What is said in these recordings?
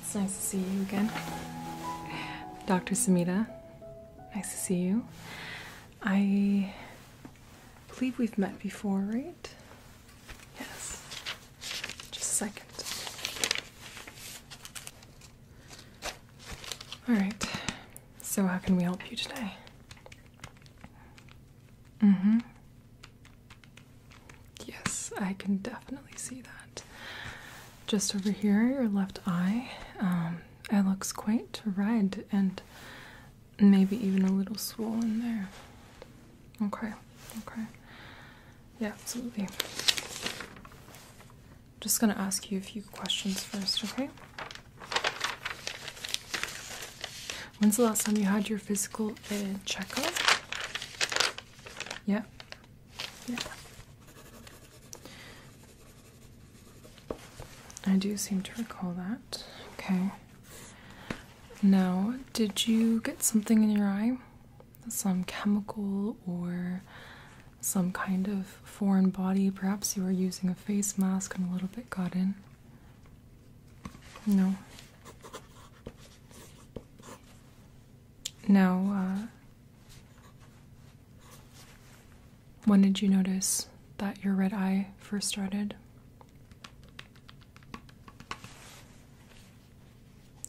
It's nice to see you again. Dr. Samita, nice to see you. I believe we've met before, right? Yes. Just a second. All right. So, how can we help you today? Mm hmm. Yes, I can definitely see that. Just over here, your left eye, um, it looks quite red and maybe even a little swollen there. Okay, okay. Yeah, absolutely. Just gonna ask you a few questions first, okay? When's the last time you had your physical uh, checkup? Yeah. Yeah. I do seem to recall that. Okay. Now, did you get something in your eye? Some chemical or some kind of foreign body? Perhaps you were using a face mask and a little bit got in? No. Now, uh, when did you notice that your red eye first started?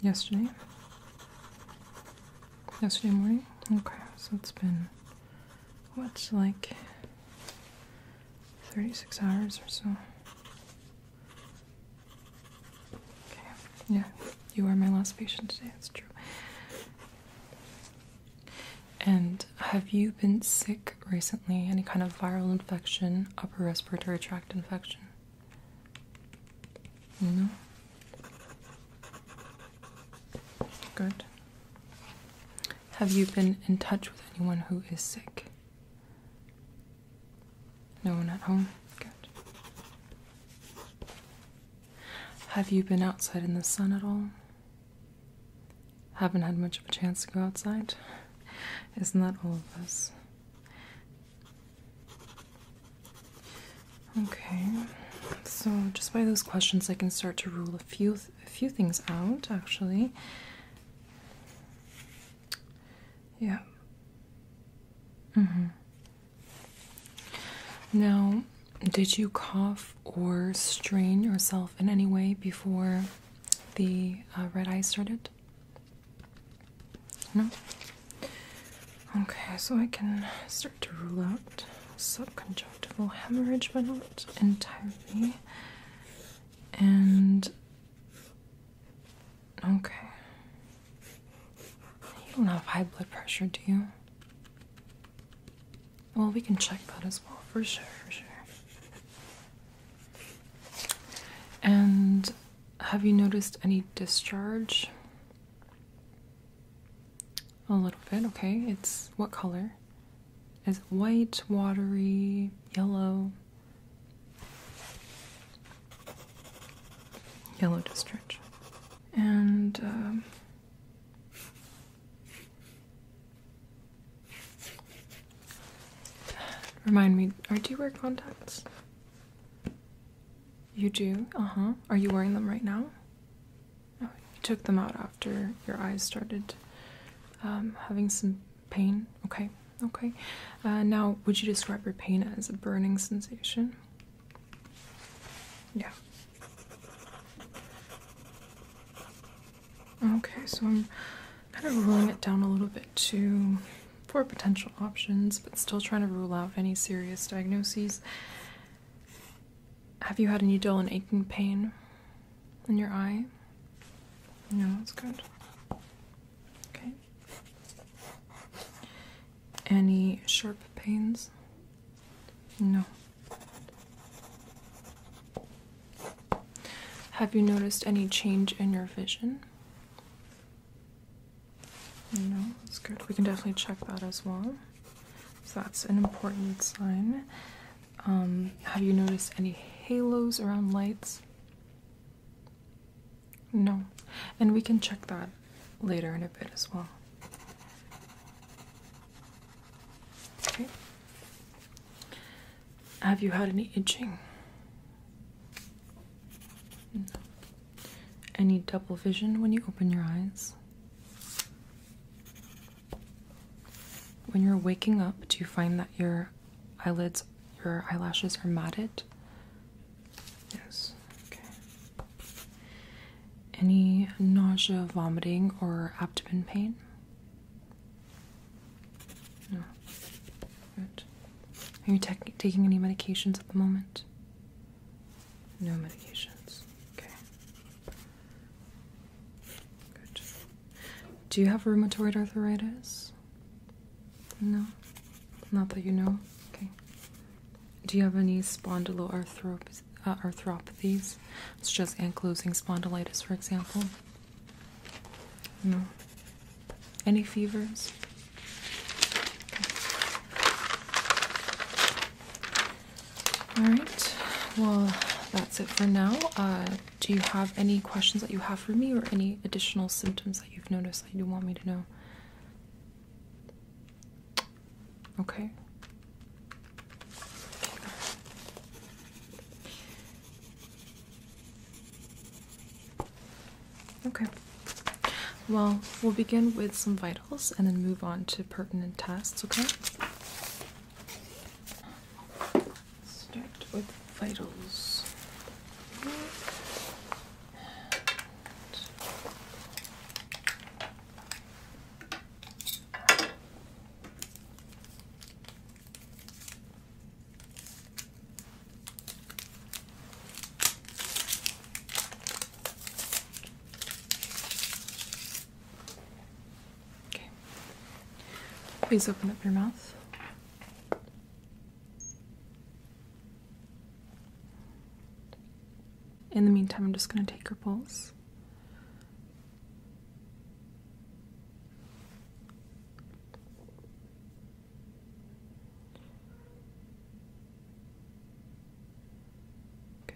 Yesterday? Yesterday morning? Okay, so it's been, what's like 36 hours or so. Okay. Yeah, you are my last patient today. That's true. And have you been sick recently? Any kind of viral infection, upper respiratory tract infection? No. Good. Have you been in touch with anyone who is sick? No one at home? Have you been outside in the sun at all? Haven't had much of a chance to go outside? Isn't that all of us? Okay, so just by those questions, I can start to rule a few, a few things out actually. Yeah. Mm-hmm. Now, did you cough or strain yourself in any way before the uh, red eye started? No? Okay, so I can start to rule out subconjunctival hemorrhage, but not entirely. And Okay. You don't have high blood pressure, do you? Well, we can check that as well, for sure, And have you noticed any discharge? A little bit, okay. It's what color? Is it white, watery, yellow? yellow to And um, remind me, are do you wear contacts? You do? Uh huh. Are you wearing them right now? Oh, you took them out after your eyes started um, having some Pain? Okay, okay. Uh, now, would you describe your pain as a burning sensation? Yeah. Okay, so I'm kind of ruling it down a little bit to four potential options, but still trying to rule out any serious diagnoses. Have you had any dull and aching pain? in your eye? No, that's good. Okay. Any sharp pains? No. Have you noticed any change in your vision? No, that's good. We can definitely check that as well. So that's an important sign. Um, have you noticed any halos around lights? No, and we can check that later in a bit as well. Okay. Have you had any itching? No. Any double vision when you open your eyes? When you're waking up, do you find that your eyelids your eyelashes are matted? Yes, okay. Any nausea, vomiting, or abdomen pain? No. Good. Are you taking any medications at the moment? No medications. Okay. Good. Do you have rheumatoid arthritis? No, not that you know. Okay. Do you have any spondyloarthropathies, uh, such as ankylosing spondylitis, for example? No. Any fevers? All right. Well, that's it for now. Uh, do you have any questions that you have for me or any additional symptoms that you've noticed that you want me to know? Okay. Okay. Well, we'll begin with some vitals and then move on to pertinent tests, okay? Start with vitals. Okay. Please open up your mouth. In the meantime, I'm just going to take your pulse. Okay.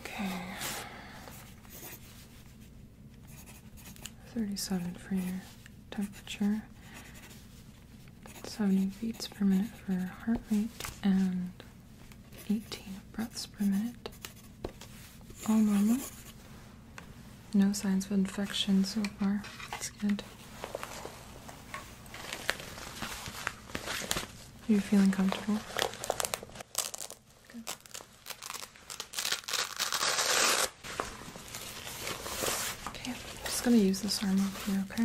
Okay. Thirty-seven for your temperature. 70 beats per minute for heart rate and 18 breaths per minute. All normal. No signs of infection so far. That's good. you feeling comfortable? Good. Okay, I'm just gonna use this arm over here, okay?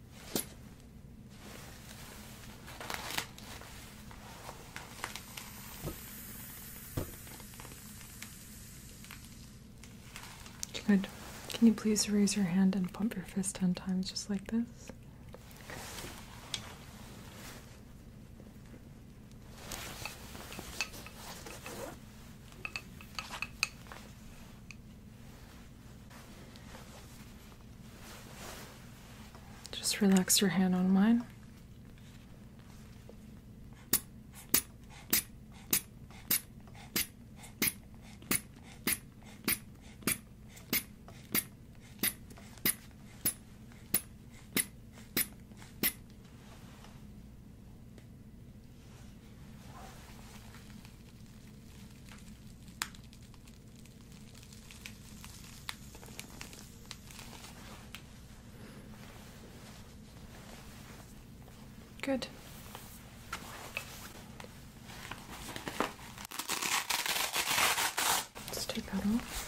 Good. Can you please raise your hand and pump your fist 10 times just like this? Just relax your hand on mine. Good. Let's take that off.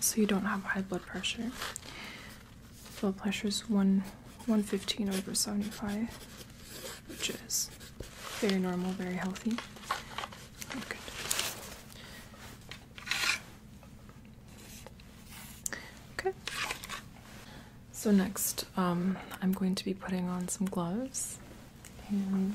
So you don't have high blood pressure. Blood pressure is one 115 over 75, which is very normal, very healthy. Oh, Okay. So next, um, I'm going to be putting on some gloves and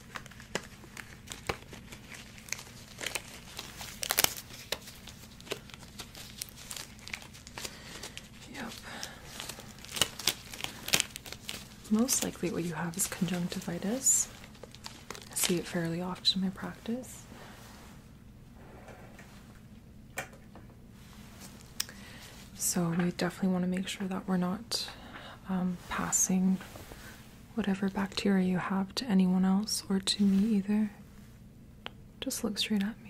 Yep. Most likely, what you have is conjunctivitis. I see it fairly often in my practice. So, we definitely want to make sure that we're not um, passing whatever bacteria you have to anyone else or to me either. Just look straight at me.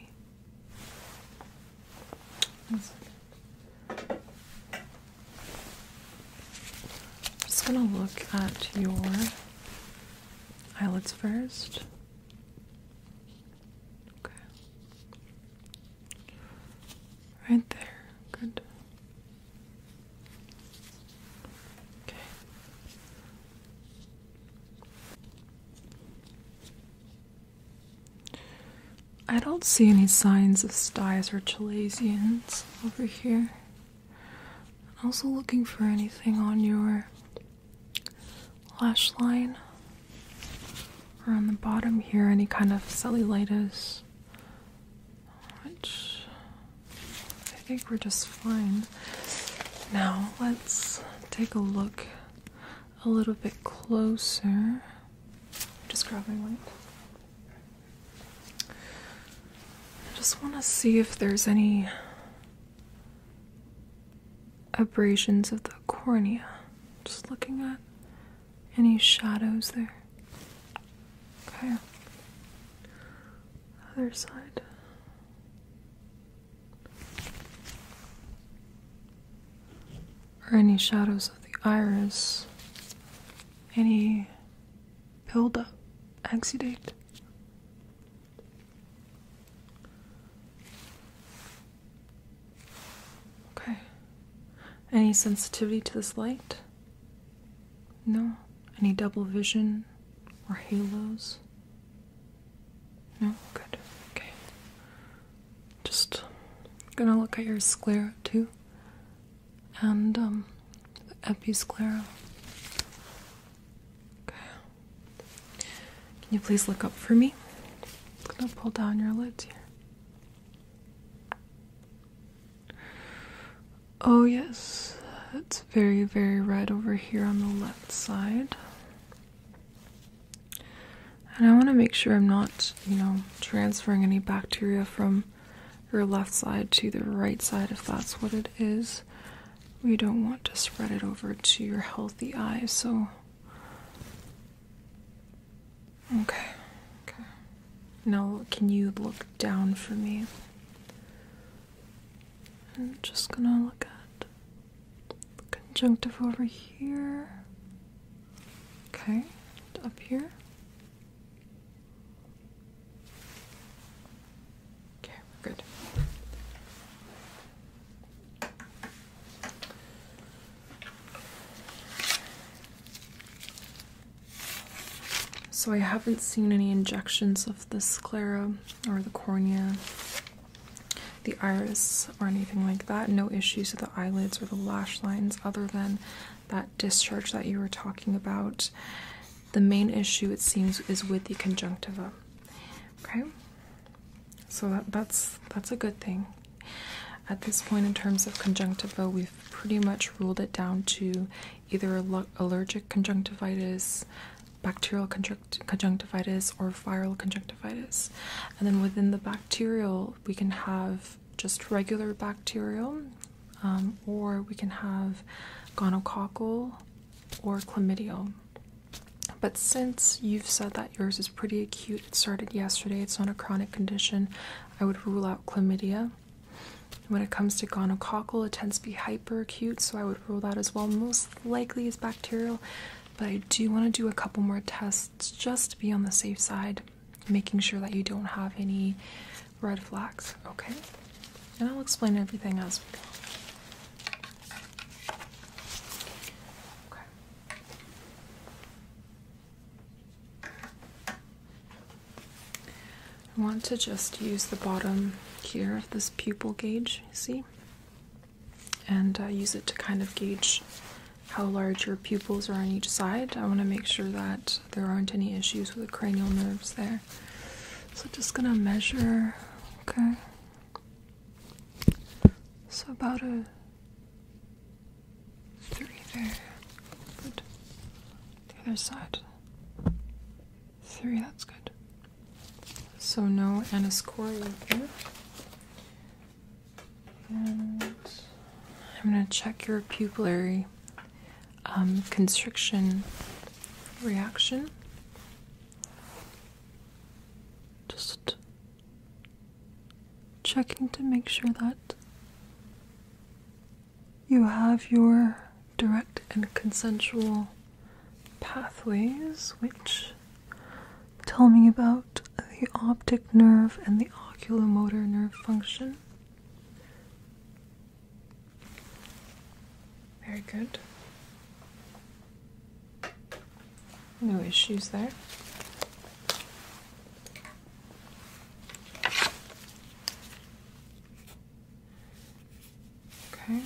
just gonna look at your eyelids first. Okay. Right there. Good. I don't see any signs of styes or chalazions over here. also looking for anything on your lash line or on the bottom here, any kind of cellulitis which I think we're just fine. Now let's take a look a little bit closer. Just grab my light. just want to see if there's any abrasions of the cornea. Just looking at any shadows there. Okay. Other side. Or any shadows of the iris, any buildup, exudate. Okay. Any sensitivity to this light? No? Any double vision or halos? No? Good. Okay. Just gonna look at your sclera too. And, um, the episclera. Okay. Can you please look up for me? I'm gonna pull down your lids here. Oh, yes, it's very, very red over here on the left side. And I want to make sure I'm not, you know, transferring any bacteria from your left side to the right side if that's what it is. We don't want to spread it over to your healthy eye, so. Okay, okay. Now, can you look down for me? I'm just gonna look at the conjunctive over here. Okay, up here. Okay, we're good. So I haven't seen any injections of the sclera or the cornea, the iris, or anything like that. No issues with the eyelids or the lash lines other than that discharge that you were talking about. The main issue, it seems, is with the conjunctiva. Okay? So that's that's a good thing. At this point, in terms of conjunctiva, we've pretty much ruled it down to either allergic conjunctivitis, bacterial conjunctivitis, or viral conjunctivitis. And then within the bacterial, we can have just regular bacterial, um, or we can have gonococcal or chlamydia. But since you've said that yours is pretty acute, it started yesterday, it's not a chronic condition, I would rule out chlamydia. When it comes to gonococcal, it tends to be hyperacute, so I would rule that as well. Most likely is bacterial, but I do want to do a couple more tests just to be on the safe side, making sure that you don't have any red flags, okay? And I'll explain everything else. Okay. I want to just use the bottom here of this pupil gauge, see, and uh, use it to kind of gauge how large your pupils are on each side. I want to make sure that there aren't any issues with the cranial nerves there. So, just gonna measure, okay? So, about a three there. The other side. Three, that's good. So no aniscoria here. And I'm going to check your pupillary um, constriction reaction. Just checking to make sure that you have your direct and consensual pathways, which tell me about the optic nerve and the oculomotor nerve function. Very good. No issues there. Okay.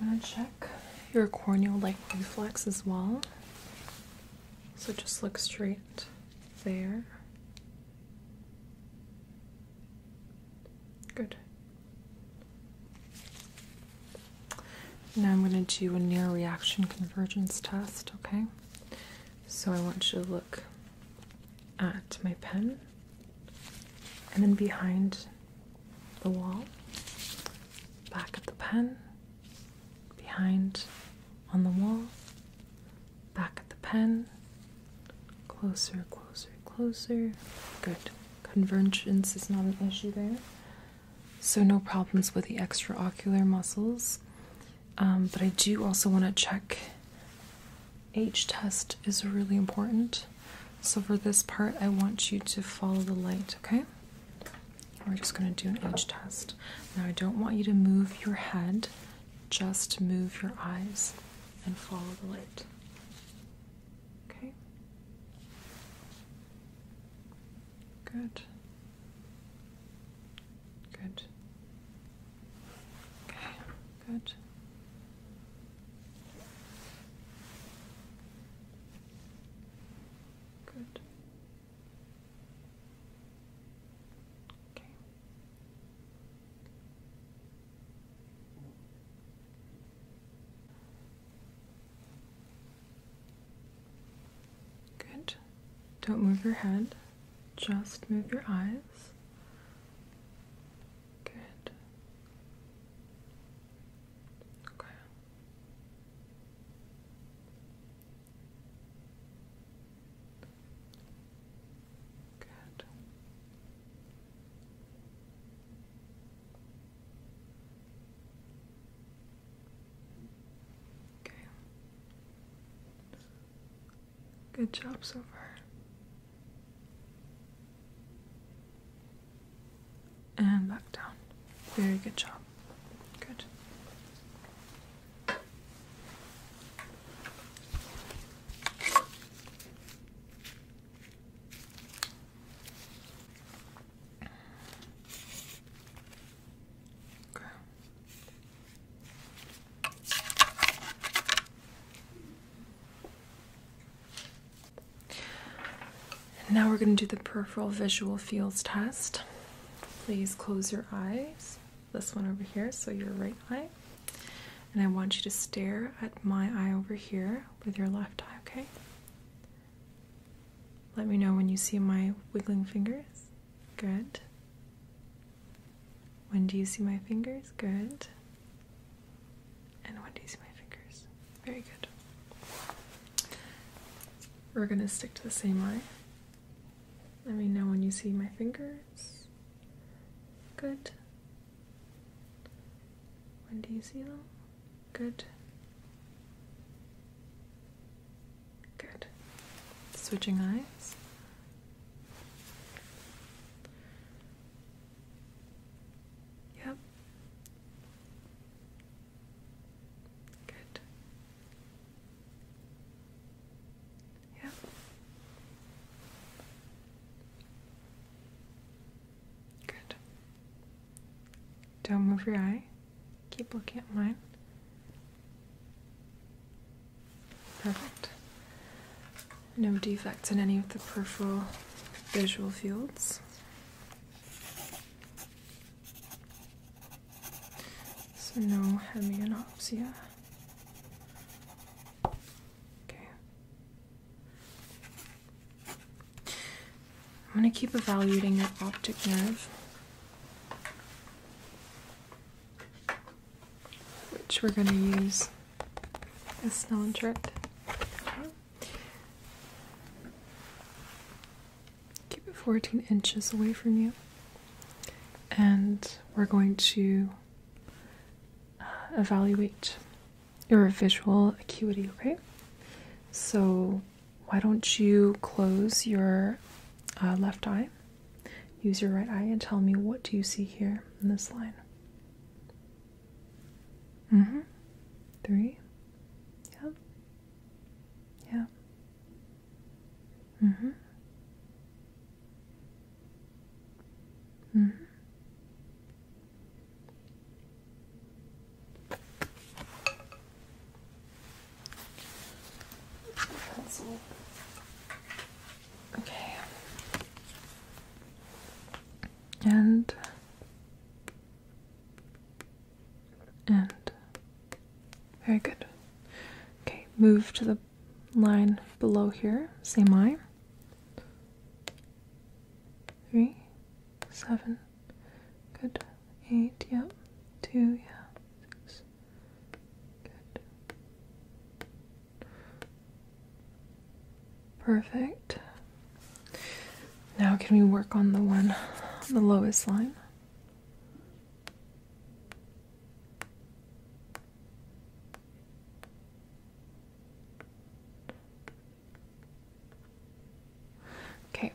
I'm gonna check your corneal light reflex as well. So just look straight there. Good. Now I'm going to do a near reaction convergence test, okay? So I want you to look at my pen and then behind the wall, back at the pen, behind on the wall, back at the pen, closer, closer, closer. Good. Convergence is not an issue there. So, no problems with the extraocular muscles. Um, but I do also want to check H test is really important. So for this part, I want you to follow the light, okay? We're just going to do an H test. Now, I don't want you to move your head, just move your eyes and follow the light. Okay? Good. Good. Okay, good. Good. Okay. Good. Don't move your head, just move your eyes. Good. Okay. Good. Okay. Good job so far. And back down. Very good job. Good now we're going to do the peripheral visual fields test. Please close your eyes. This one over here, so your right eye. And I want you to stare at my eye over here with your left eye, okay? Let me know when you see my wiggling fingers. Good. When do you see my fingers? Good. And when do you see my fingers? Very good. We're going to stick to the same eye. Let me know when you see my fingers. Good. When do you see them? Good. Good. Switching eyes. Yep. Good. Yep. Good. Don't move your eye. Keep looking at mine. Perfect. No defects in any of the peripheral visual fields. So no hemianopsia. Okay. I'm going to keep evaluating your optic nerve, which we're going to use a snow trick. Keep it 14 inches away from you, and we're going to uh, evaluate your visual acuity, okay? So why don't you close your uh, left eye? Use your right eye and tell me what do you see here in this line? Mm-hmm. Three. Yeah. Yeah. Mm-hmm. Mm-hmm. Okay. And and very good. Okay, move to the line below here, same eye. Three, seven, Good. Eight, yep. Two, yeah. Good. Perfect. Now can we work on the one the lowest line? Okay,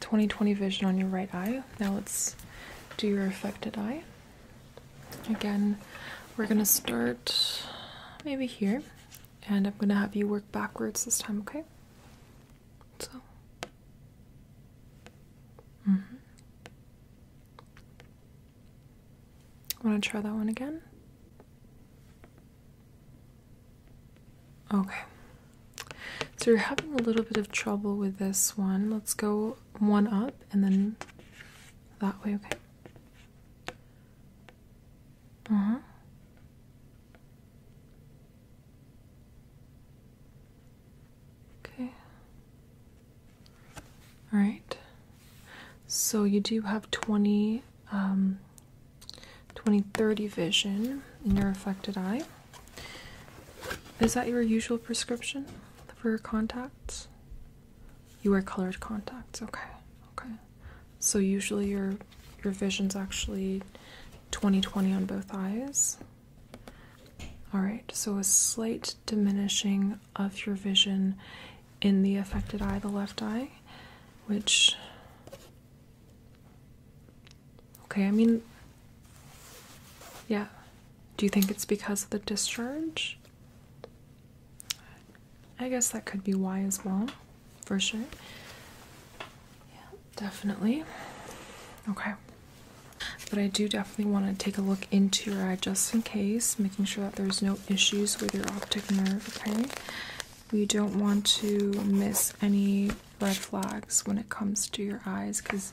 20/20 vision on your right eye. Now let's do your affected eye. Again, we're gonna start maybe here, and I'm gonna have you work backwards this time, okay? So, mm-hmm. Want to try that one again? Okay. So you're having a little bit of trouble with this one. Let's go one up and then that way, okay? Uh-huh. Okay. All right. So you do have 20 um 2030 vision in your affected eye. Is that your usual prescription for your contacts? You wear colored contacts. Okay. Okay. So usually your your vision's actually 20/20 on both eyes. All right. So a slight diminishing of your vision in the affected eye, the left eye, which Okay, I mean, yeah. Do you think it's because of the discharge? I guess that could be why as well, for sure. Yeah, definitely. Okay. But I do definitely want to take a look into your eye just in case, making sure that there's no issues with your optic nerve, okay? We don't want to miss any red flags when it comes to your eyes because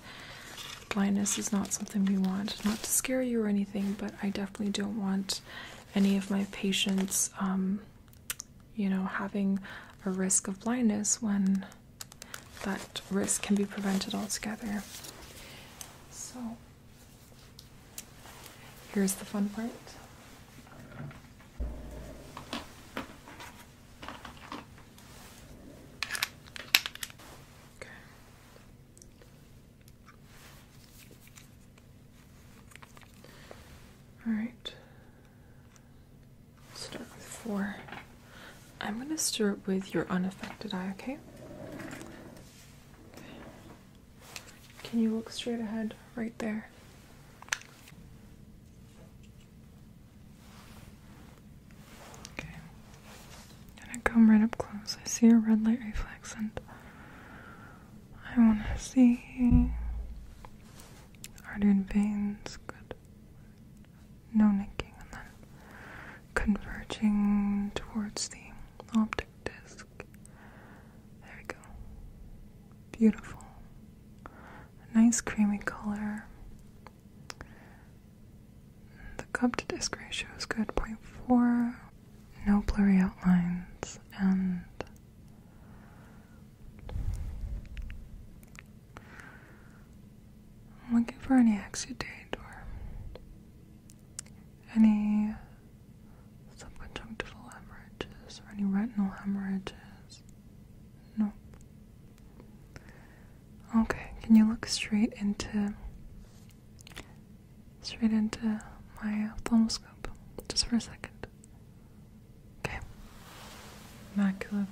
blindness is not something we want. Not to scare you or anything, but I definitely don't want any of my patients, um, you know, having a risk of blindness when that risk can be prevented altogether. So, here's the fun part. Okay. All right. Start with four. I'm going to start with your unaffected eye, okay? okay? Can you look straight ahead right there? Okay. i gonna come right up close. I see a red light reflex and I wanna see artery veins, good. No nicking and then converging towards the optic disc. There we go. Beautiful a nice creamy color. The cup to disc ratio is good, 0.4, no blurry outlines, and I'm looking for any exudate or any subconjunctival hemorrhages or any retinal hemorrhages. No. Okay, can you look straight into straight into my thermoscope just for a second? Okay. Macula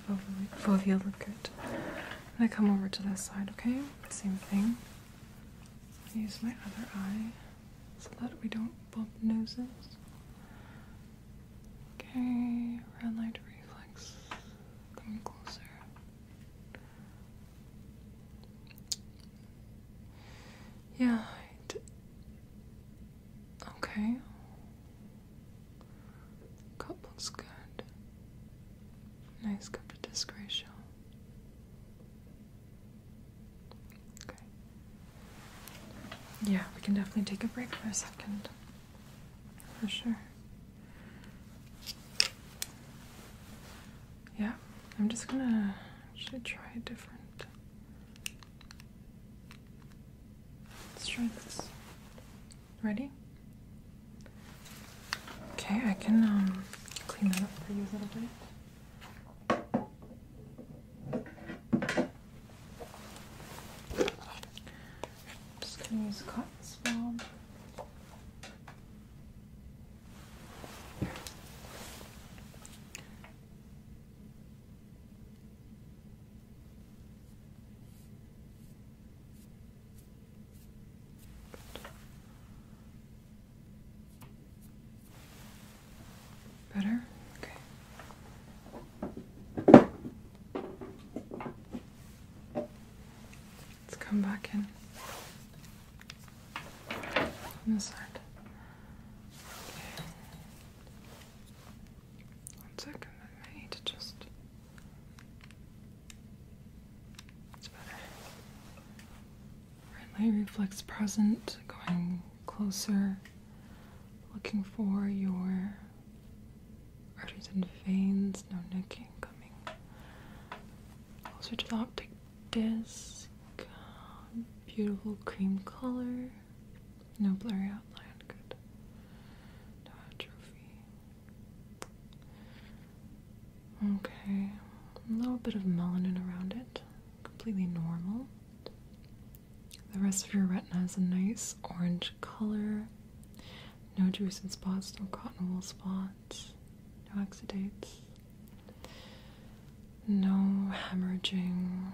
fovea look good. I'm gonna come over to this side, okay? Same thing. Use my other eye so that we don't bump noses. Okay, red light reflex coming closer. Yeah. okay. Cup looks good. Nice cup to disc ratio. Okay. Yeah, we can definitely take a break for a second. For sure. Yeah, I'm just gonna actually try a different. Let's try this. Ready? Okay, I can um, clean that up for you a little bit. I'm just going to use a cotton swab. Better? Okay. Let's come back in. this side. One second, I need to just. It's better. Friendly reflex present, going closer, looking for your arteries and veins, no nicking coming closer to the optic disc. Beautiful cream color, no blurry outline, good. No atrophy. Okay, a little bit of melanin around it, completely normal. The rest of your retina is a nice orange color. No drusen spots, no cotton wool spots, no exudates, no hemorrhaging.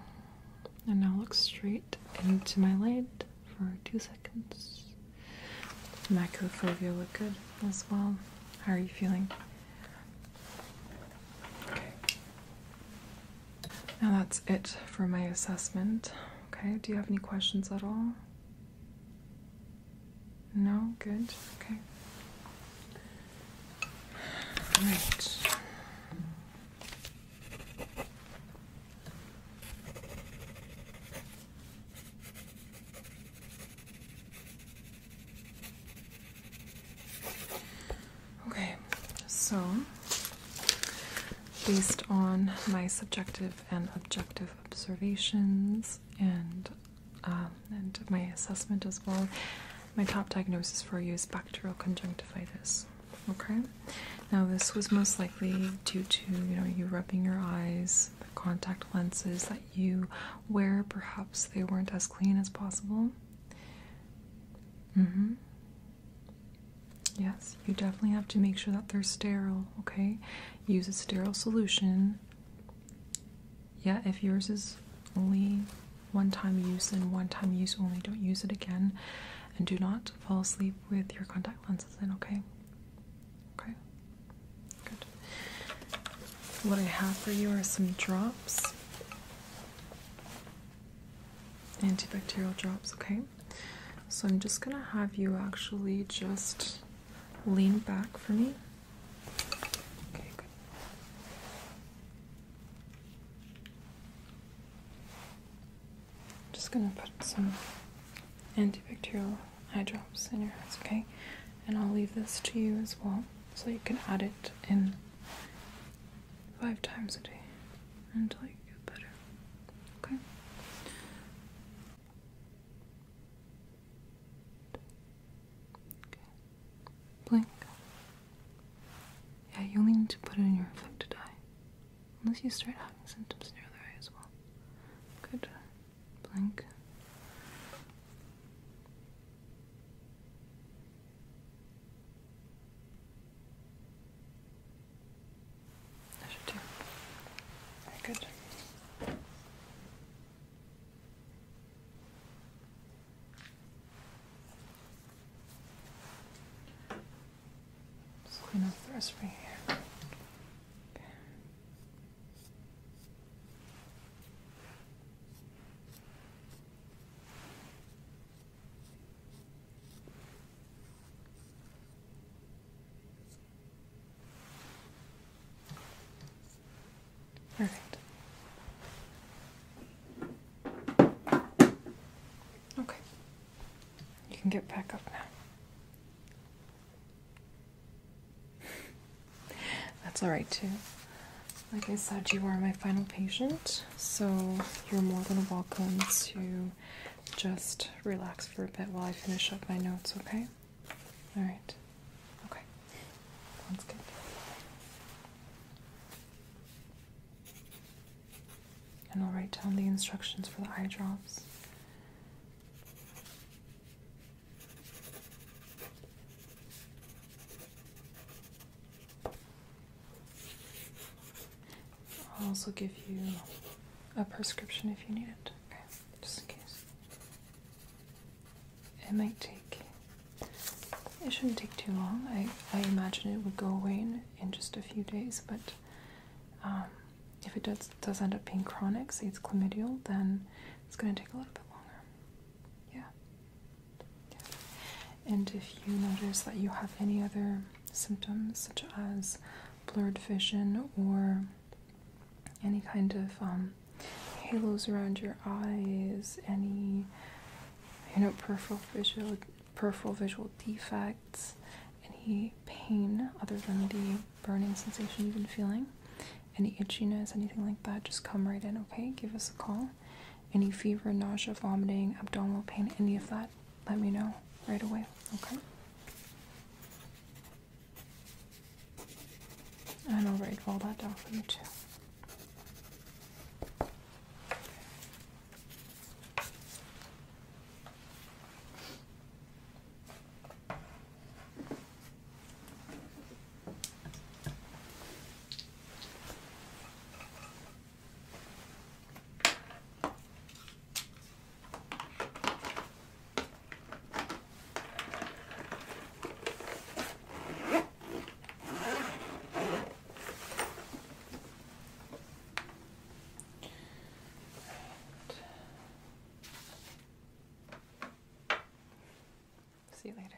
And now look straight into my light for two seconds. Macular fovea look good as well. How are you feeling? Okay. Now that's it for my assessment. Okay, do you have any questions at all? No? Good? Okay. All right. Okay, so based on my subjective and objective observations and um, and my assessment as well, my top diagnosis for you is bacterial conjunctivitis. Okay, now this was most likely due to you know you rubbing your eyes, the contact lenses that you wear. Perhaps they weren't as clean as possible. Mm-hmm. Yes, you definitely have to make sure that they're sterile, okay? Use a sterile solution. Yeah, if yours is only one time use, and one time use only. Don't use it again. And do not fall asleep with your contact lenses in, okay? Okay? Good. What I have for you are some drops antibacterial drops, okay? So I'm just gonna have you actually just lean back for me. Okay, good. just gonna put some antibacterial eye drops in your eyes, okay? And I'll leave this to you as well so you can add it in five times a day until you get better. Okay? Blink. Yeah, you only need to put it in your affected eye. Unless you start having symptoms in your other eye as well. Good. Blink. I should do. Very good. Just clean up the rest right here. Okay. Perfect. Okay. You can get back up now. That's all right, too. Like I said, you are my final patient. So you're more than welcome to just relax for a bit while I finish up my notes, okay? All right. Okay. Sounds good. And I'll write down the instructions for the eye drops. I'll also give you a prescription if you need it, okay? Just in case. It might take. It shouldn't take too long. I, I imagine it would go away in, in just a few days, but um, if it does, does end up being chronic, say it's chlamydial, then it's going to take a little bit longer. Yeah. And if you notice that you have any other symptoms, such as blurred vision or any kind of um, halos around your eyes, any you know peripheral peripheral visual defects, any pain other than the burning sensation you've been feeling, any itchiness, anything like that, just come right in, okay? Give us a call any fever, nausea, vomiting, abdominal pain, any of that, let me know right away, okay? And I'll write all that down for you too. See you later.